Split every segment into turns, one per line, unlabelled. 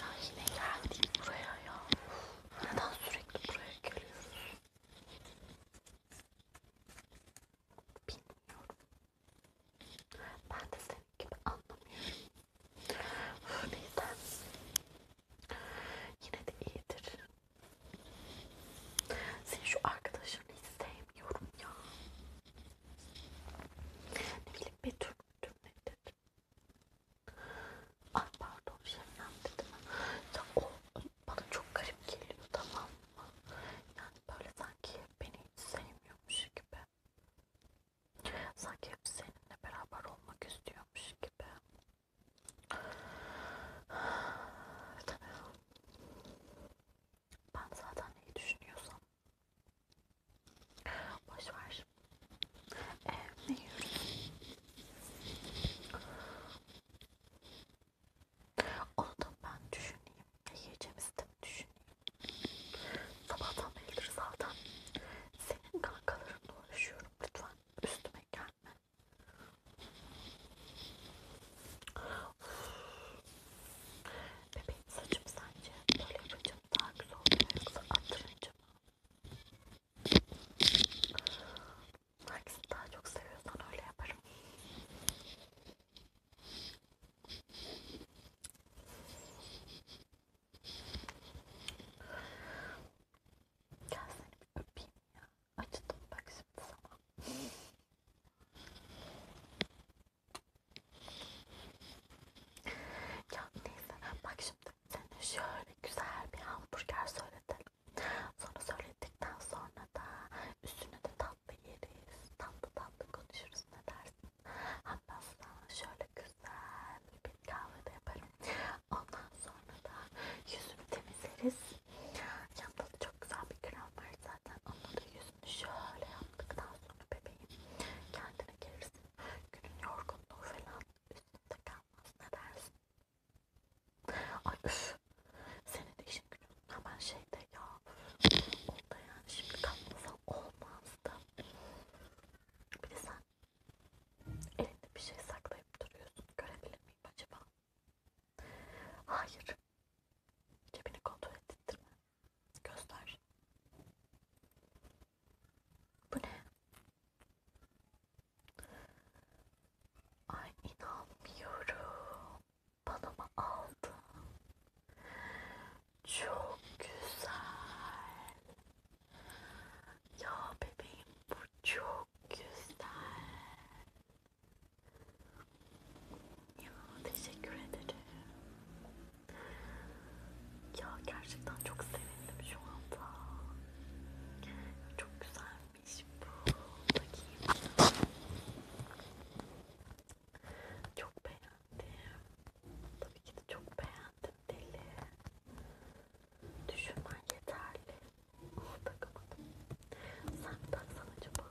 Ya yine geldik buraya ya. Neden sürekli buraya geliyoruz? Bilmiyorum. Ben de senin gibi anlamıyorum. Neyse. Yine de iyidir. Sen şu arkadaşını hiç sevmiyorum ya. Ne bileyim Betül müdür ne dedim. Ay pardon Şebnem dedim. Ya o bana çok garip geliyor tamam mı? Yani böyle sanki beni hiç sevmiyormuş gibi. Sanki hep seninle beraber olmak istiyormuş gibi. Tamam. Ben zaten neyi düşünüyorsam boşver. Ee, ne yiyoruz? Onu da ben düşüneyim. Ne yiyeceğimizi de düşüneyim. Sabahtan beridir zaten senin kankalarınla uğraşıyorum. Lütfen üstüme gelme. Bebeğim saçım sence böyle yapacağım daha güzel oluyor yoksa attırınca mı? Herkesi daha çok seviyorsan öyle yaparım. Gel seni bir öpeyim ya. Acıdım bak şimdi sana. Ya neyse bak şimdi senin şöyle güzel bir hamburger söyletelim. Sonra söyledikten sonra da üstüne de tatlı yeriz. Tatlı tatlı konuşuruz ne dersin? Hatta sana şöyle güzel bir kahve de yaparım. Ondan sonra da yüzümü temizleriz. Yanında da çok güzel bir krem var var zaten. Onunla da yüzünü şöyle yaptıktan sonra bebeğim kendine gelirsin. Günün yorgunluğu falan üstünde kalmaz. Ne dersin? Ay üf. Senin de işin günün hemen şeyde ya. Onda yani şimdi kalmasan olmazdı. Bir de sen elinde bir şey saklayıp duruyorsun. Görebilir miyim acaba? Hayır. Cebini kontrol ettirme. Göster. Bu ne? Ay inanmıyorum. Bana mı aldın? Çok güzel. Ya bebeğim bu çok güzel. Ya teşekkür ederim. Ya gerçekten çok sevindim şu anda. Çok güzelmiş bu. Bakayım. Çok beğendim. Tabii ki de çok beğendim deli. Düşünmen yeterli. Onu oh, takamadım. Sen taksan acaba?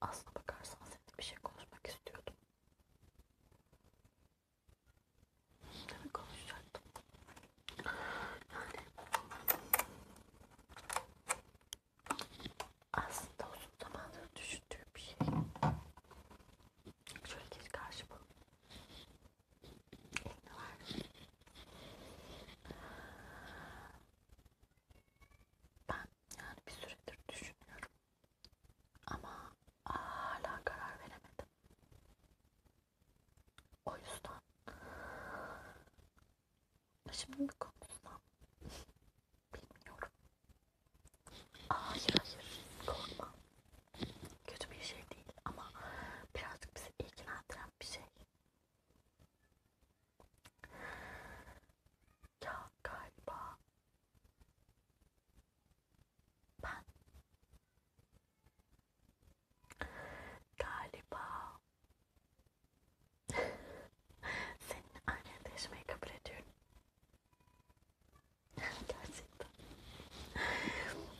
Aslına bakarsan seninle bir şey konuşmak istiyordum. Ne konuşacaktım? Yani aslında uzun zamandır düşündüğüm bir şey. Şöyle geç karşıma. Elini ver. Ben ben yani bir süredir düşünüyorum ama hala karar veremedim. O yüzden şimdi mi konuşsam bilmiyorum. Hayır hayır korkma. Kötü bir şey değil ama birazcık bizi ilgilendiren bir şey. Ya galiba ben galiba senin annenle yaşamayı kabul ediyorum. Gerçekten.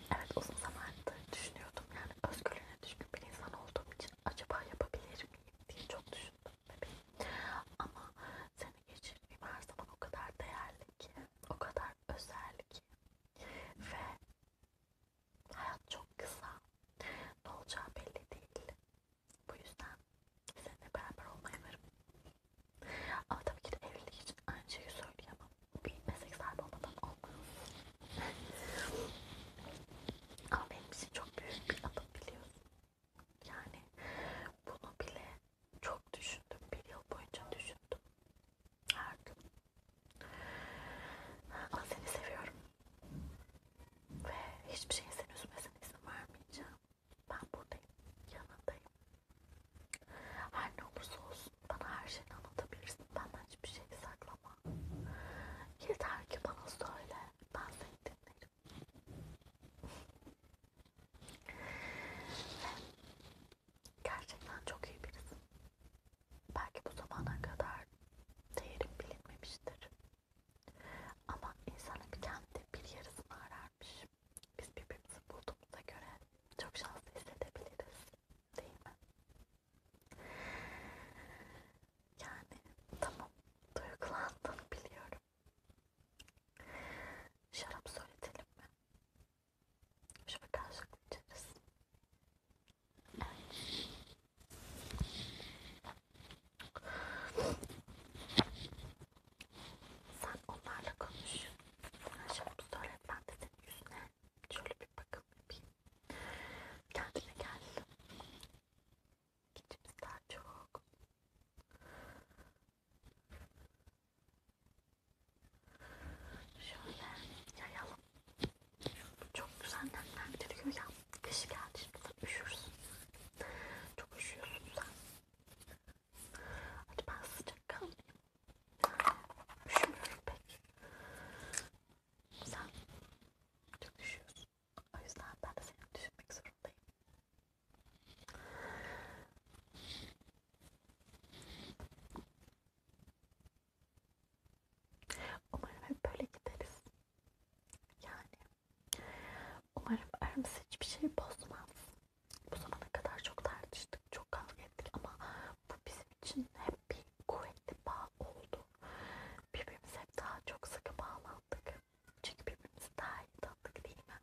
Evet uzun zamandır düşünüyordum yani özgürlüğüne düşkün bir insan olduğum için acaba yapabilir miyim diye çok düşünüyordum düşündüm bebeğim. Ama seni geçirdiğim her zaman o kadar değerli ki, o kadar özel ki. Ve hayat çok kısa. Ne olacağı belli değil. Bu yüzden seninle beraber olmaya varım. Ama tabii ki de evlilik için aynı şeyi söyleyemem. Bir meslek sahibi olmadan olmaz. Ama benim için çok büyük bir adım biliyorsun. Yani bunu bile çok düşündüm. Bir yıl boyunca düşündüm. Her gün. Ama seni seviyorum. Ve hiçbir şeyin seni üzmesine izin vermeyeceğim. Ben buradayım. Yanındayım. Her ne olursa olsun bana her şeyi anlatabilirsin. Benden hiçbir şey saklama. Yeter ki bana söyle bazen dinlerim. Gerçekten çok iyi birisin. Belki bu zamana kadar değerim bilinmemiştir. Ama insanın kendi bir yarısını ararmış. Biz birbirimizi bulduğumuza göre çok şanslı hissedebiliriz. Değil mi? Yani tamam duygulandığını biliyorum. Şarap söyletelim mi? Şöyle karşılıklı içeriz. Evet. Sen onlarla konuş. Ben şarap söyle. Ben de senin yüzüne şöyle bir bakım yapayım. Kendine gel. İçimizden çok. Şöyle yayalım. Çok güzel nemlendiriyor ya. Kış geldi şimdi üşürsün. Çok üşüyorsun sen. Hadi ben sıcak kalmayayım. Üşümüyorum pek. Sen çok üşüyorsun. O yüzden ben de seni düşünmek zorundayım. Umarım hep böyle gideriz. Yani umarım aramız hiçbir şey bozmaz. Bu zamana kadar çok tartıştık, çok kavga ettik ama bu bizim için hep bir kuvvetli bağ oldu birbirimize hep daha çok sıkı bağlandık. Çünkü birbirimizi daha iyi tanıdık değil mi?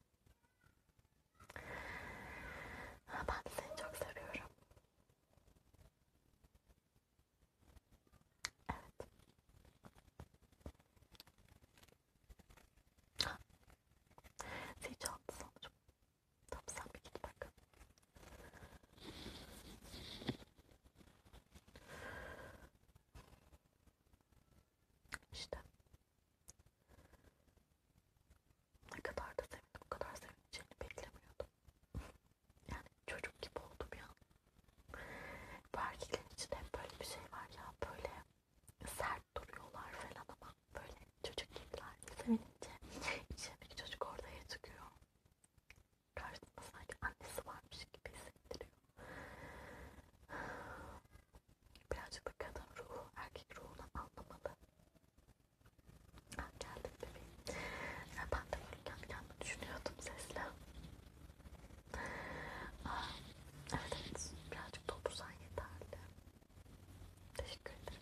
Ben de seni çok seviyorum. Evet. Ha. Seni çaldı sanırım. Tamam sen bir git bak. İşte. Ne kadar da sevindim, o kadar sevineceğini beklemiyordum. Yani çocuk gibi oldum ya. Bu erkeklerin içinde hep böyle bir şey var ya, böyle sert duruyorlar falan ama böyle çocuk gibiler. Sevinince içindeki çocuk ortaya çıkıyor karşısında sanki annesi varmış gibi hissettiriyor. Birazcık da kadın ruhu, erkek ruhunu anlamalı. Ben ah, geldim bebeğim. Yani ben de böyle kendi kendime düşünüyordum sesle. Aa, ah, evet evet, birazcık doldursan yeterli. Teşekkür ederim.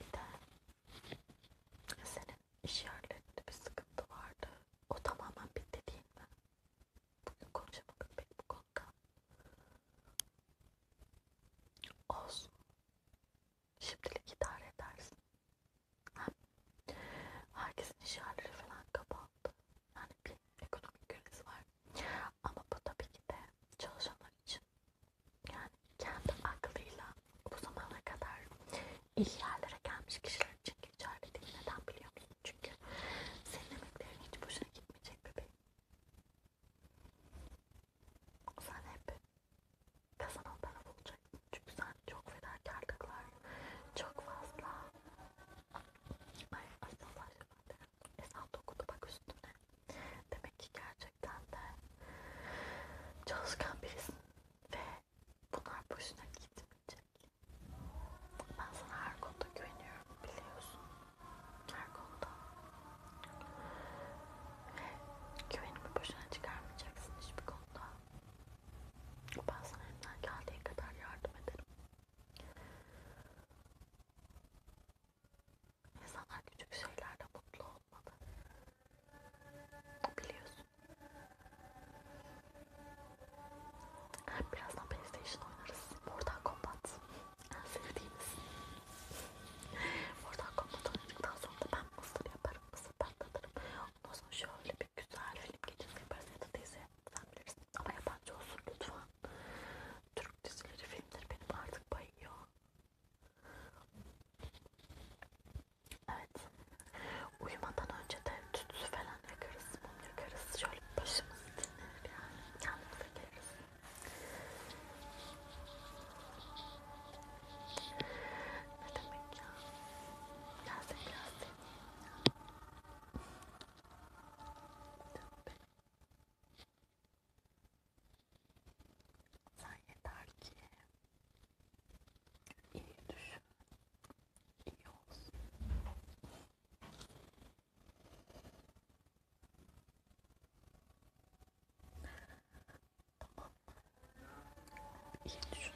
Bir de senin iş yerlerinde bir sıkıntı vardı. O tamamen bitti değil mi? Bugün konuşamadık pek bu konuda. Olsun. Şimdilik idare edersin. Hem herkesin iş yerleri falan kapandı. Yani bir ekonomik kriz var. Ama bu tabii ki de çalışanlar için yani kendi aklıyla bu zamana kadar iyi yerlere gelmiş kişiler için geçerli değil. Neden biliyor musun? Çünkü senin emeklerin hiç boşuna gitmeyecek bebeğim. Sen hep kazanan taraf olacaksın. Çünkü sen çok fedakarlıklar, çok fazla Ay, aslında başlamadım ezan dokudu bak üstüne. Demek ki gerçekten de çalışkan birisin ve bunlar boşuna gitmeyecek. Ben sana her konuda güveniyorum biliyorsun. Her konuda. Ve güvenimi boşuna çıkarmayacaksın hiçbir konuda. Ben sana elimden geldiği kadar yardım ederim. İnsanlar küçük şeylerle mutlu olmalı. Biliyorsun. Birazdan PlayStation oynarız. Mortal Kombat. En sevdiğimiz. Mortal Kombat oynadıktan sonra da ben mısır yaparım. Mısır patlatırım. Ondan sonra şöyle bir güzel film gecesi yaparız ya da dizi sen bilirsin ama yabancı olsun lütfen. Türk dizileri, filmleri benim artık bayıyor. Evet. Uyumadan önce de tütsü falan yakarız, mum yakarız. Şöyle başımızı dinlenir yani. Kendimize geliriz. Ne demek ya? Gelsin gelsin. Sen yeter ki iyi düşün, iyi olsun. Tamam İyi düşün.